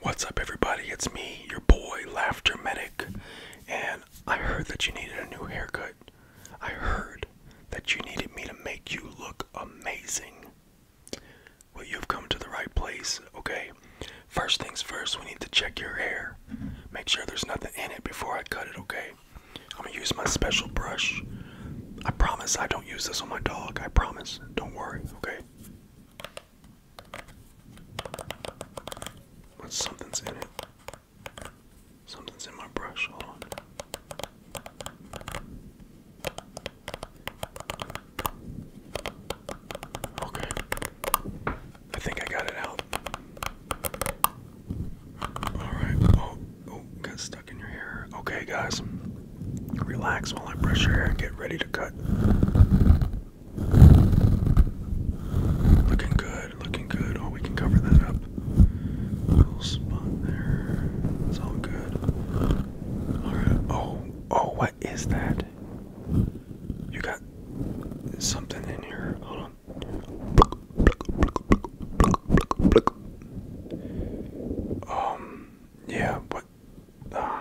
What's up, everybody? It's me, your boy, Laughter Medic. And I heard that you needed a new haircut. I heard that you needed me to make you look amazing. Well, you've come to the right place, okay? First things first, we need to check your hair. Make sure there's nothing in it before I cut it, okay? I'm gonna use my special brush. I promise I don't use this on my dog. I promise. Don't worry, okay? But something's in it. Something's in my brush. Hold on. Okay. I think I got it out. Alright. Oh, oh, got stuck. Okay, guys, relax while I brush your hair and get ready to cut. Looking good, looking good. Oh, we can cover that up. Little spot there. It's all good. Oh, oh, what is that? You got something in here. Hold on. Um, yeah, but uh,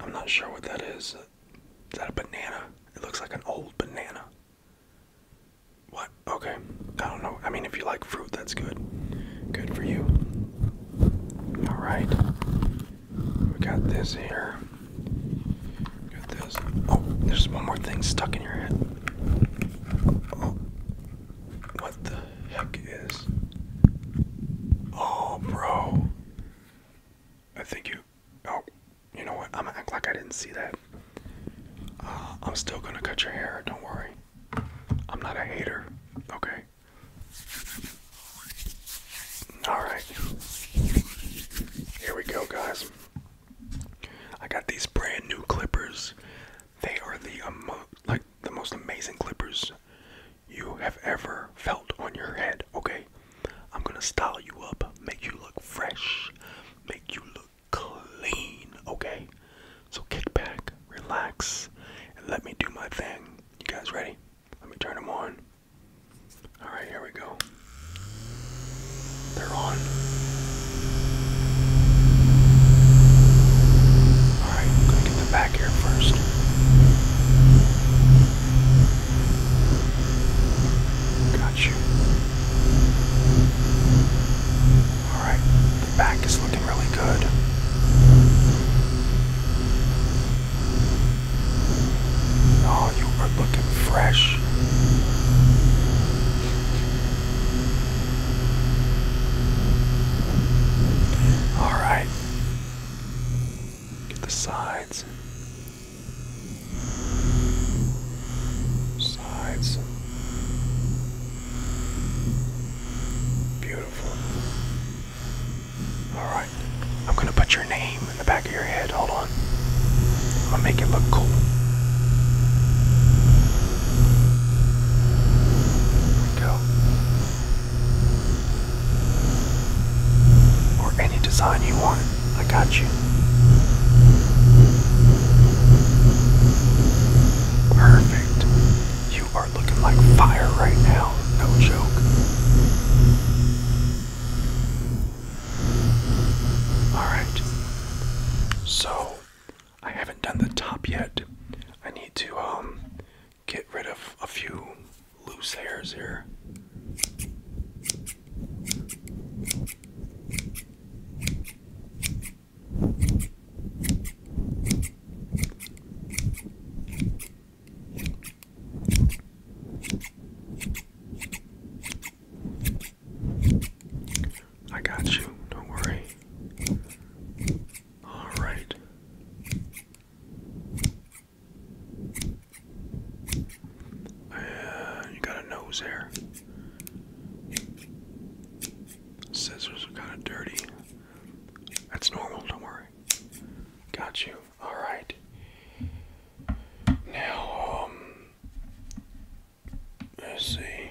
I'm not sure what that is. Is that a banana? It looks like an old banana. What? Okay. I don't know. I mean, if you like fruit, that's good. Good for you. All right. We got this here. Got this. Oh, there's one more thing stuck in your head. Oh. What the heck is? Oh, bro. I think you. Oh, you know what? I'm gonna act like I didn't see that. Uh, I'm still gonna cut your hair. Don't worry. I'm not a hater. Okay. All right. Here we go, guys. I got these brand new clippers. They are the like the most amazing clippers you have ever felt on your head. Okay, I'm gonna style you up, make you look fresh, make you look clean. Okay, so kick back, relax, and let me do my thing. You guys ready? Let me turn them on. All right, here we go. They're on. Alright, i get the back here first. Got you. Alright, the back is looking really good. All you are looking fresh. All right. Get the sides. Sides. Beautiful. All right. I'm going to put your name in the back of your head. Hold on. I'm gonna make it look cool. There we go. Or any design you want. I got you. Perfect. You are looking like fire right now. No joke. Alright. So, I haven't done the top yet. I need to um, get rid of a few loose hairs here. I got you, don't worry. All right. Uh, you got a nose there. Scissors are kind of dirty. That's normal, don't worry. Got you. All right. Now, um, let's see.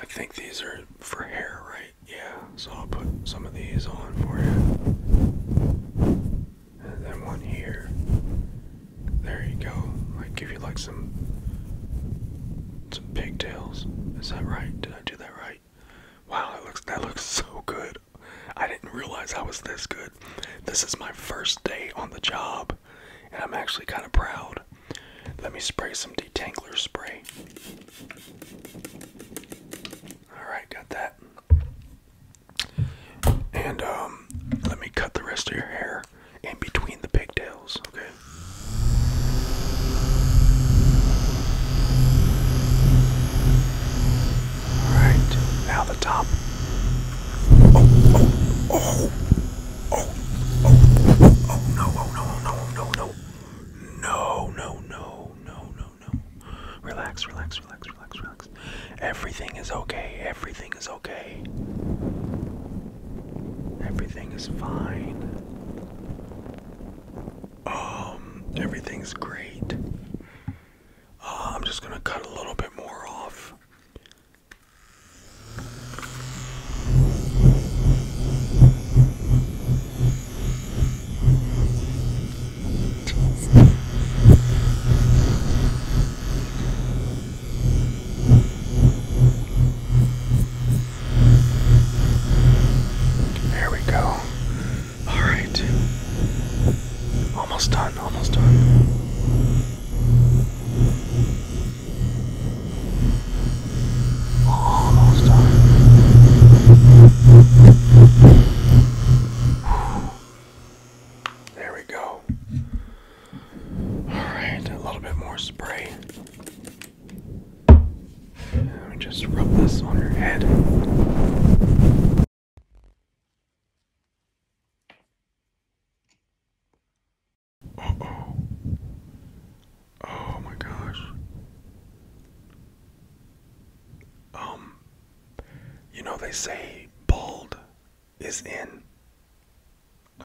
I think these are for hair, right? Yeah. So I'll put some of these on for you, and then one here. There you go. I give you like some some pigtails. Is that right? Did I do that right? Wow, that looks that looks so good. I didn't realize I was this good. This is my first day on the job, and I'm actually kind of proud. Let me spray some detangler spray. Alright, got that. And um, let me cut the rest of your hair in between the pigtails, okay? All right, now the top. Oh, oh, oh, oh, oh, oh, no, oh, no, oh, no, oh, no, no. No, no, no, no, no, no. Relax, relax, relax, relax, relax. Everything is okay. Everything is okay. Everything is fine. Um, everything's great. Uh, I'm just gonna cut a little bit more off. There we go. All right. Almost done, almost done. Almost done. There we go. All right, a little bit more spray just rub this on your head. oh. Oh my gosh. Um, you know, they say bald is in.